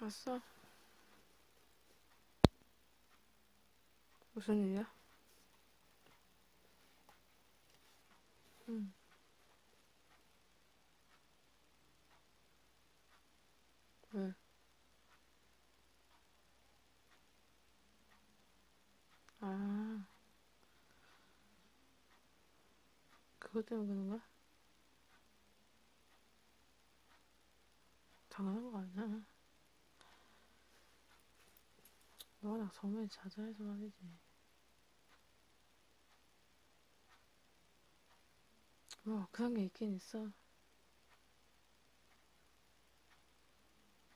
왔어? 무슨 일이야? 응. 왜? 아. 그것 때문에 그런 거야? 당연한 거 아니야. 워낙 정을 자자해서 말이지. 뭐, 그런 게 있긴 있어.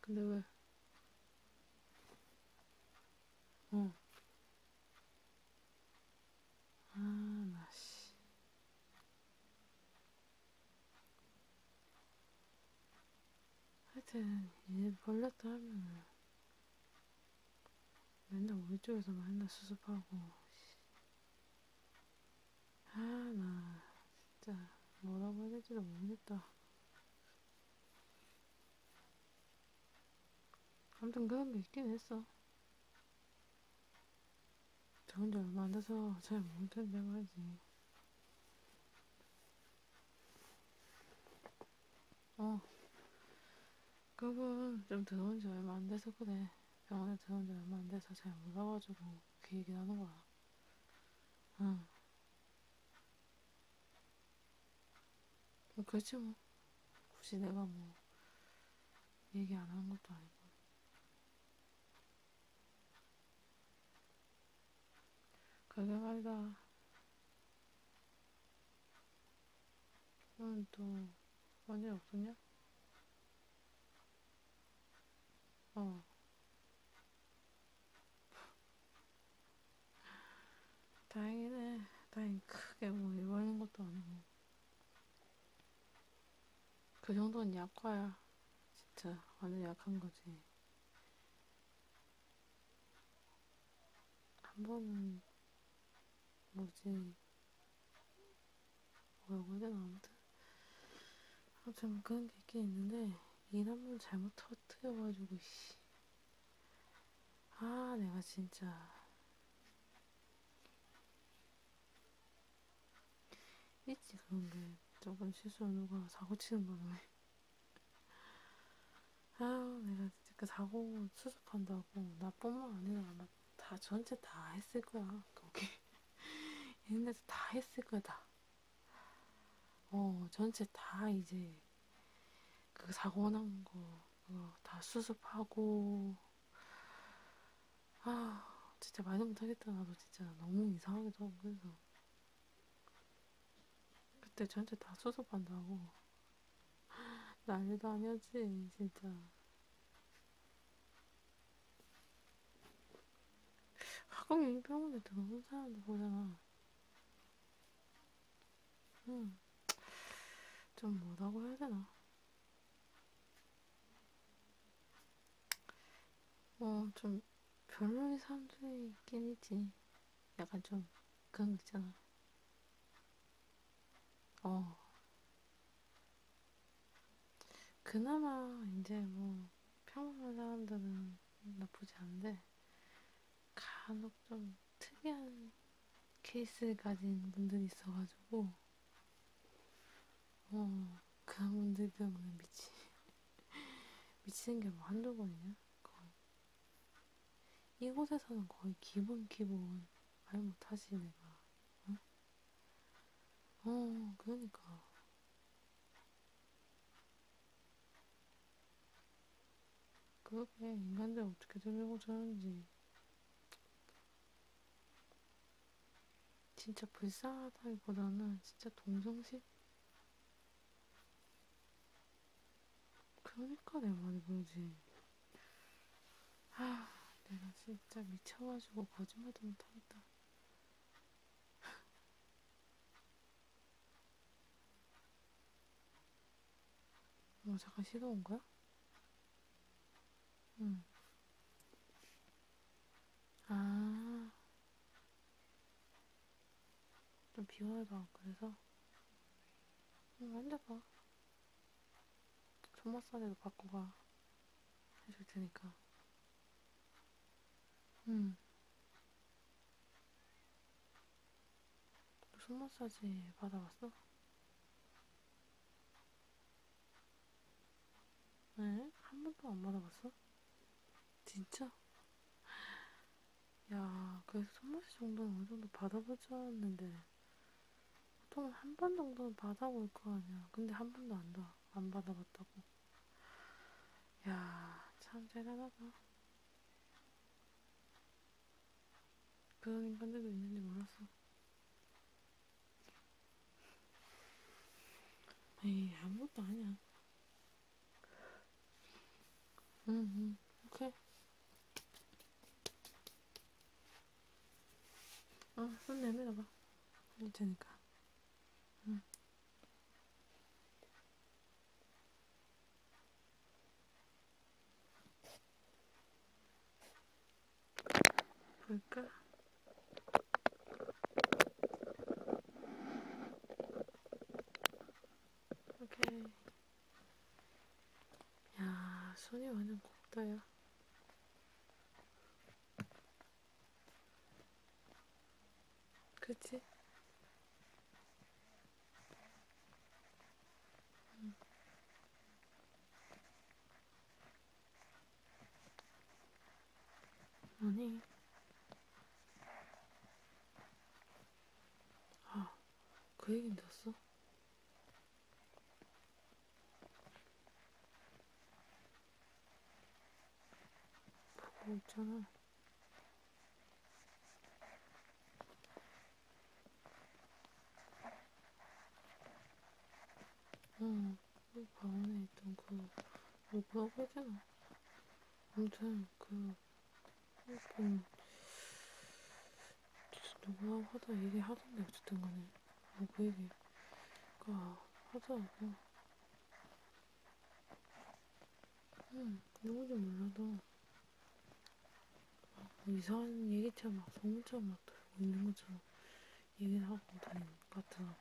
근데 왜? 어. 아, 나 씨. 하여튼 얘 벌렸다 하면은 맨날 우리 쪽에서 맨날 수습하고 아, 나 진짜 뭐라고 해야 될지도 모르겠다. 아무튼 그런 게 있긴 했어. 저 혼자 얼마 안 돼서 잘 모르겠는데 말이지. 어. 그분 좀 들어온 지 얼마 안 돼서 그래. 병원에 들어온 지 얼마 안 돼서 잘 몰라가지고 그 얘기 하는 거야. 응. 뭐 그렇지 뭐. 굳이 내가 뭐 얘기 안 하는 것도 아니고. 그러게 말이다. 오늘 또 완전히 없었냐? 어. 다행이네. 다행히 크게 뭐 입어는 것도 아니고. 그 정도는 약과야. 진짜 완전 약한 거지. 한 번은 뭐지 얼굴에 아무튼 아좀 그런 게 있긴 있는데 일 한 번 잘못 터뜨려가지고 씨. 아 내가 진짜 있지 그런 게 저번 실수로 누가 사고 치는 바람에 아 내가 그 사고 수습한다고 나뿐만 아니라 아마 다 전체 다 했을 거야 거기 있는 데서 다 했을 거다 어, 전체 다 이제 그 사고 난 거, 그거 다 수습하고, 아, 진짜 말도 못하겠다. 나도 진짜 너무 이상하기도 하고, 그래서. 그때 전체 다 수습한다고. 난리도 아니었지, 진짜. 가끔 병원에 들어오는 사람들 보잖아. 음, 좀 뭐라고 해야 되나? 어, 좀 별로인 사람들이 있긴 있지. 약간 좀 그런 거 있잖아. 어, 그나마 이제 뭐 평범한 사람들은 나쁘지 않은데 간혹 좀 특이한 케이스를 가진 분들이 있어가지고 어 그런 분들 때문에 미치 미치는 게 뭐 한두 번이냐 거의 이곳에서는 거의 기본 기본 말 못하지 내가 응? 어 그러니까 그게 인간들 어떻게 설명고자 하는지 진짜 불쌍하다기보다는 진짜 동정심? 그러니까 내 말이 뭐지 아 내가 진짜 미쳐가지고 거짓말도 못하겠다 어, 잠깐 쉬다 온 거야? 응. 아. 좀 비워야 그래서? 응, 앉아봐. 손 마사지도 받고 가. 해줄 테니까. 응. 음. 무슨 마사지 받아봤어? 네? 한 번도 안 받아봤어? 진짜? 야, 그래서 손마시 정도는 어느 정도 받아보지 않았는데, 보통은 한 번 정도는 받아볼 거 아니야. 근데 한 번도 안, 안 받아봤다고. 야, 참 대단하다. 그런 인간들도 있는지 몰랐어. 에이, 아무것도 아니야. 응, 응, 오케이. 어, 손 내밀어봐. 괜찮으니까. 응. 볼까? 오케이. 야, 손이 완전 곱다요. 그치? 응. 음. 아니. 아, 그 얘긴 들었어? 보고 있잖아. 응, 그 방안에 있던 그, 왜 뭐 뭐라고 해야 되나? 아무튼, 그, 일본, 누구하고 하다 얘기하던데, 어쨌든 간에. 뭐, 그 얘기가 하더라고. 응, 음, 누군지 몰라도 뭐 이상한 얘기처럼 막 소문처럼 막 들고 있는 것처럼 얘기를 하고 다니는 것 같더라고.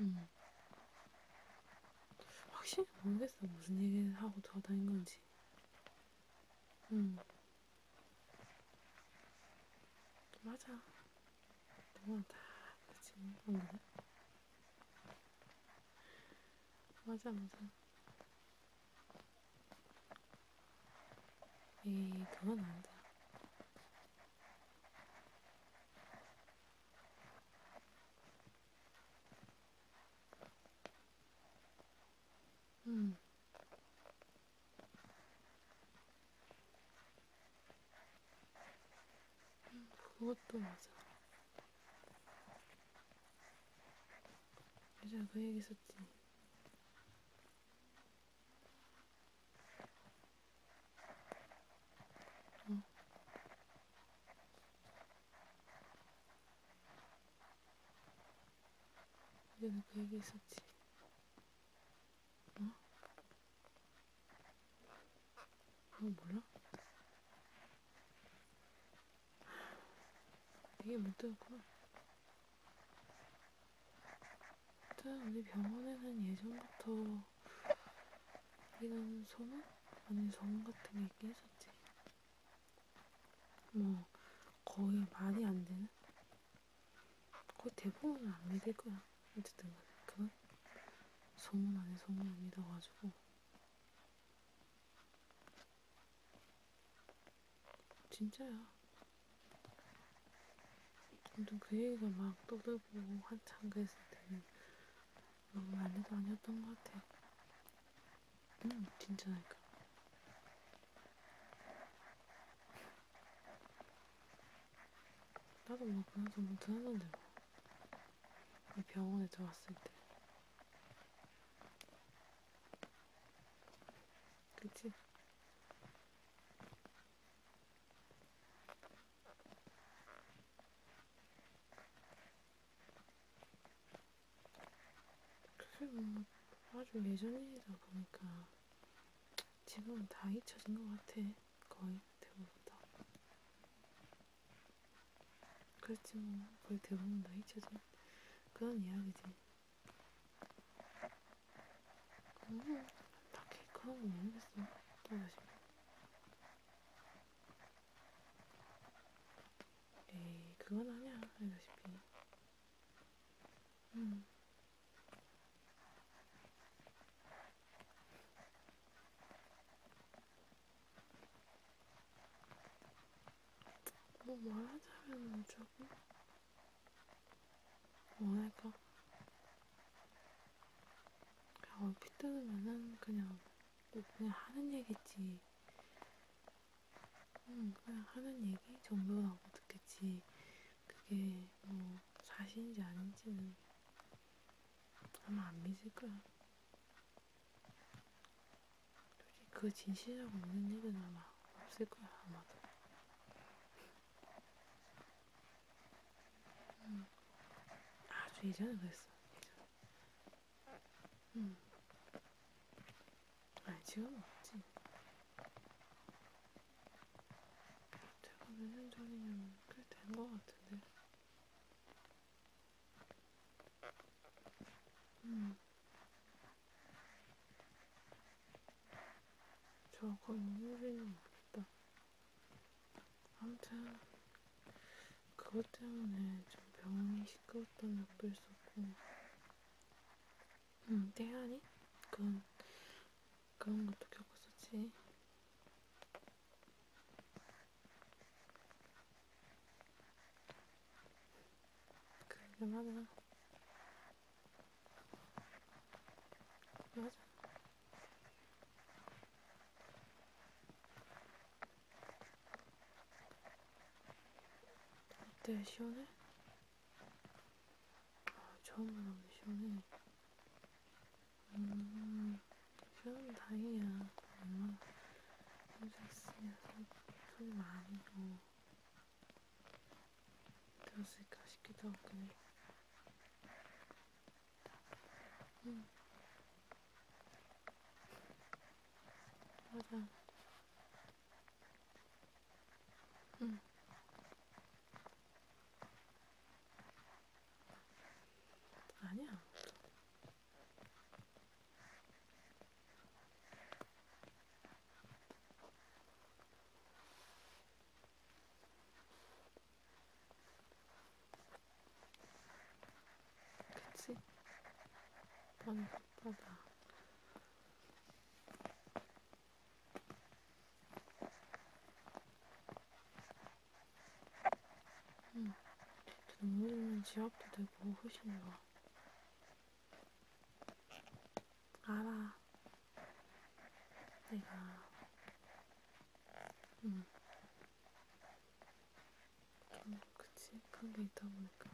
응. 음. 확실히 모르겠어. 무슨 얘기를 하고 돌아다닌 건지. 응. 음. 맞아. 너무하다. 그치? 뭔가? 맞아, 맞아. 에이, 그건 안 돼. 음, 그것도 맞아. 예전에 그 얘기 했었지. 응. 예전에 그 얘기 했었지. 뭐? 어, 몰라? 이게 물뜨였구나. 일단 우리 병원에는 예전부터 이런 소문? 아니 소문 같은 게 있긴 했었지. 뭐 거의 말이 안 되는 거의 대부분은 안 믿을 거야. 어쨌든 그건 소문 안에 소문 안 믿어가지고 진짜야. 아무튼 그 얘기가 막 떠들고 한참 그랬을 때는 너무 난리도 아니었던 것 같아. 응, 음, 진짜니까. 나도 뭐 그래서 뭐 들었는데 뭐 병원에 들어왔을 때 그치? 그게 뭐 아주 예전 일이다 보니까 지금은 다 잊혀진 것 같아. 거의 대부분 다. 그렇지 뭐 거의 대부분 다 잊혀진 그런 이야기지. 음, 딱히 그런 건 모르겠어. 또다시. 에이, 그건 아니야. 알다시피. 음, 뭐 말하자면 조금 뭐랄까 그냥 얼핏 들으면은 그냥 뭐 그냥 하는 얘기지 응 음, 그냥 하는 얘기 정도라고 듣겠지 그게 뭐 사실인지 아닌지는 아마 안 믿을 거야. 솔직히 그 진실이라고 믿는 일은 아마 없을 거야, 아마도. 음, 아주 예전에 그랬어. 음. 아니, 지금은 없지. 제가 몇 년 전이면 꽤된 것 같은데. 음. 저 거의 눈물이는 없겠다. 아무튼, 그것 때문에 좀 병원이 시끄럽던 적도 있었고, 음, 태안이? 그건 그런 것도 겪었었지. 그러긴 하나. 맞아. 어때, 시원해? 아, 처음 만나는데 시원해. 음, 그럼 다행이야. 엄마 혼자 있으면 손이 많이 고 들었을까 싶기도 하고. 응. 맞아. 응. 아니야. 그치? 난 바다. 응. 음, 눈물이면 지압도 되고 훨씬 좋아. 알아. 내가. 응. 음. 좀 그치? 그런 게 있다 보니까.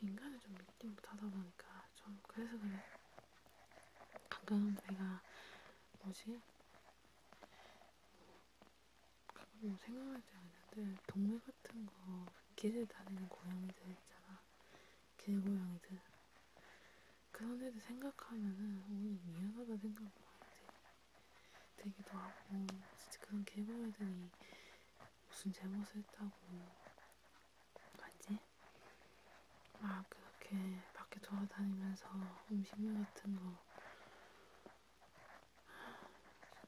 인간을 좀 미팅부터 하다 보니까 좀 그래서 그래. 가끔 내가 뭐지? 뭐, 가끔 뭐 생각할 때가 있는데 동물 같은 거 길을 다니는 고양이들 있잖아. 길고양이들. 그런 애들 생각하면은 오늘 미안하다 생각 많이 돼. 되기도 하고 진짜 그런 개고양이들이 무슨 잘못을 했다고 뭐지? 막 그렇게 밖에 돌아다니면서 음식물 같은 거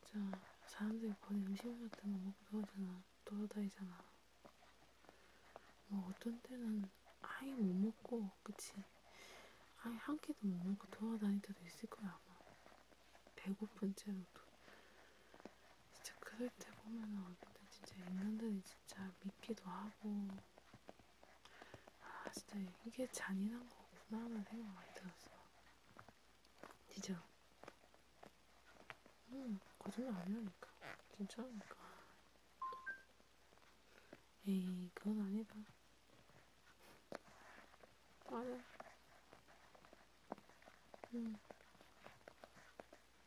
진짜 사람들이 버린 음식물 같은 거 먹고 그러잖아 돌아다니잖아 뭐 어떤 때는 아예 못 먹고 그치? 아예 한 끼도 못 먹고 돌아다닐 때도 있을 거야 아마 배고픈 채로도 진짜 그럴 때 보면은 얼굴들 진짜 있는데 진짜 믿기도 하고 아 진짜 이게 잔인한 거구나 하는 생각 많이 들었어 진짜 음 거짓말 아니라니까 진짜니까 에이 그건 아니다 맞아 음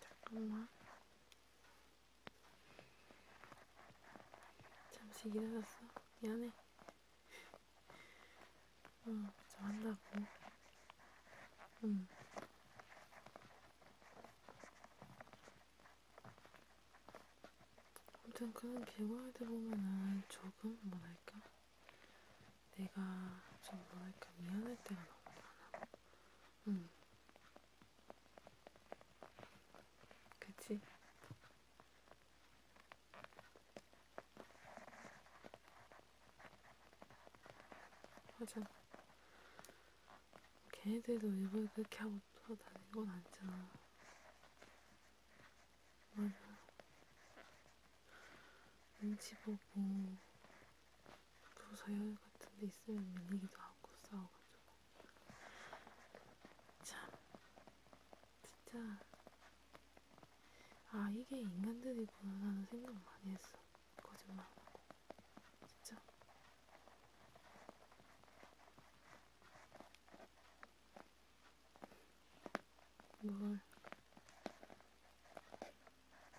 잠깐만. 잠시 기다렸어. 미안해. 응, 좀 한다고. 응. 아무튼 그런 개발들 보면은 조금 뭐랄까 내가 좀 뭐랄까 미안할 때가 너무 많아. 응. 그치? 맞아. 걔네들도 일부러 그렇게 하고 돌아다니는 건 아니잖아. 맞아. 눈치 보고 또 서열 같은 데 있으면 밀리기도 하고 싸워가지고 참 진짜 아 이게 인간들이구나 라는 생각 많이 했어 거짓말하고 진짜 뭘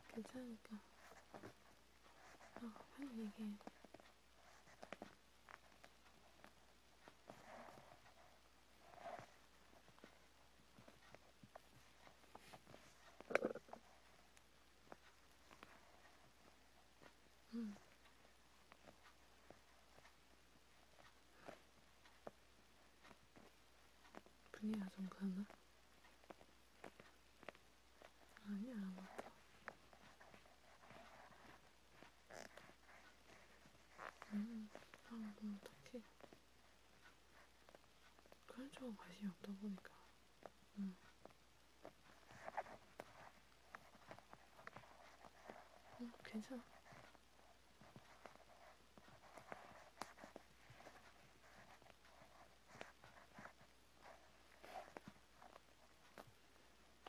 괜찮으니까 아 빨리 얘기해 응. 분야 좀 가나? 아니, 안 왔다. 음, 방금 아, 뭐 어떡해. 그런 쪽은 관심이 없다 보니까. 음. 음, 괜찮아.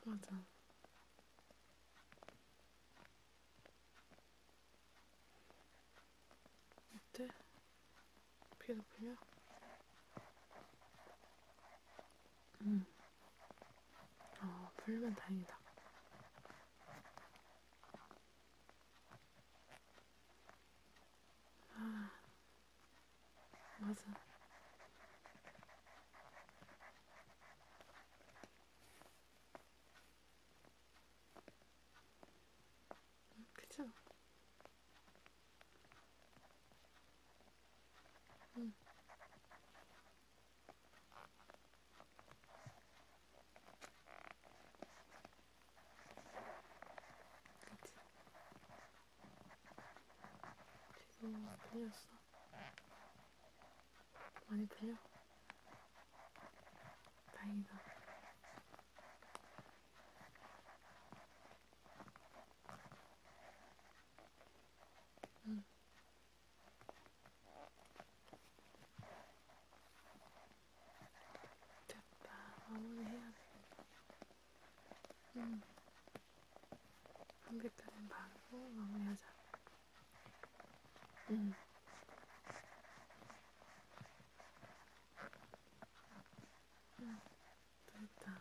맞아. 어때? 피도 풀려? 응. 어, 풀면 다행이다. 아, 맞아. 그쵸? 응. 그치? 지금 들렸어? 많이 들려? 다행이다. 응. 됐다. 마무리해야 돼. 응. 음. 한개까진 바르고 마무리하자. 응. 음. 응. 음. 됐다.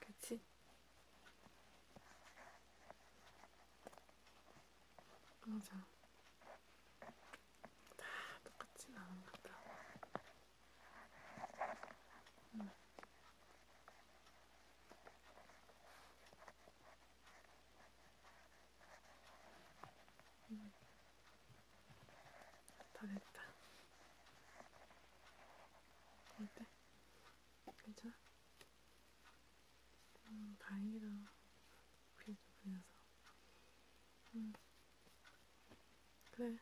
그치? 맞아. 다 똑같진 않은 것 같아. 응. 응. 다 됐다. 어때? 괜찮아? 음, 다행이다. 그래도 그래서. 음. 그래.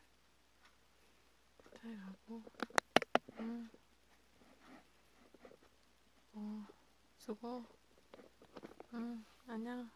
잘 가고. 응. 음. 어, 수고. 응, 음, 안녕.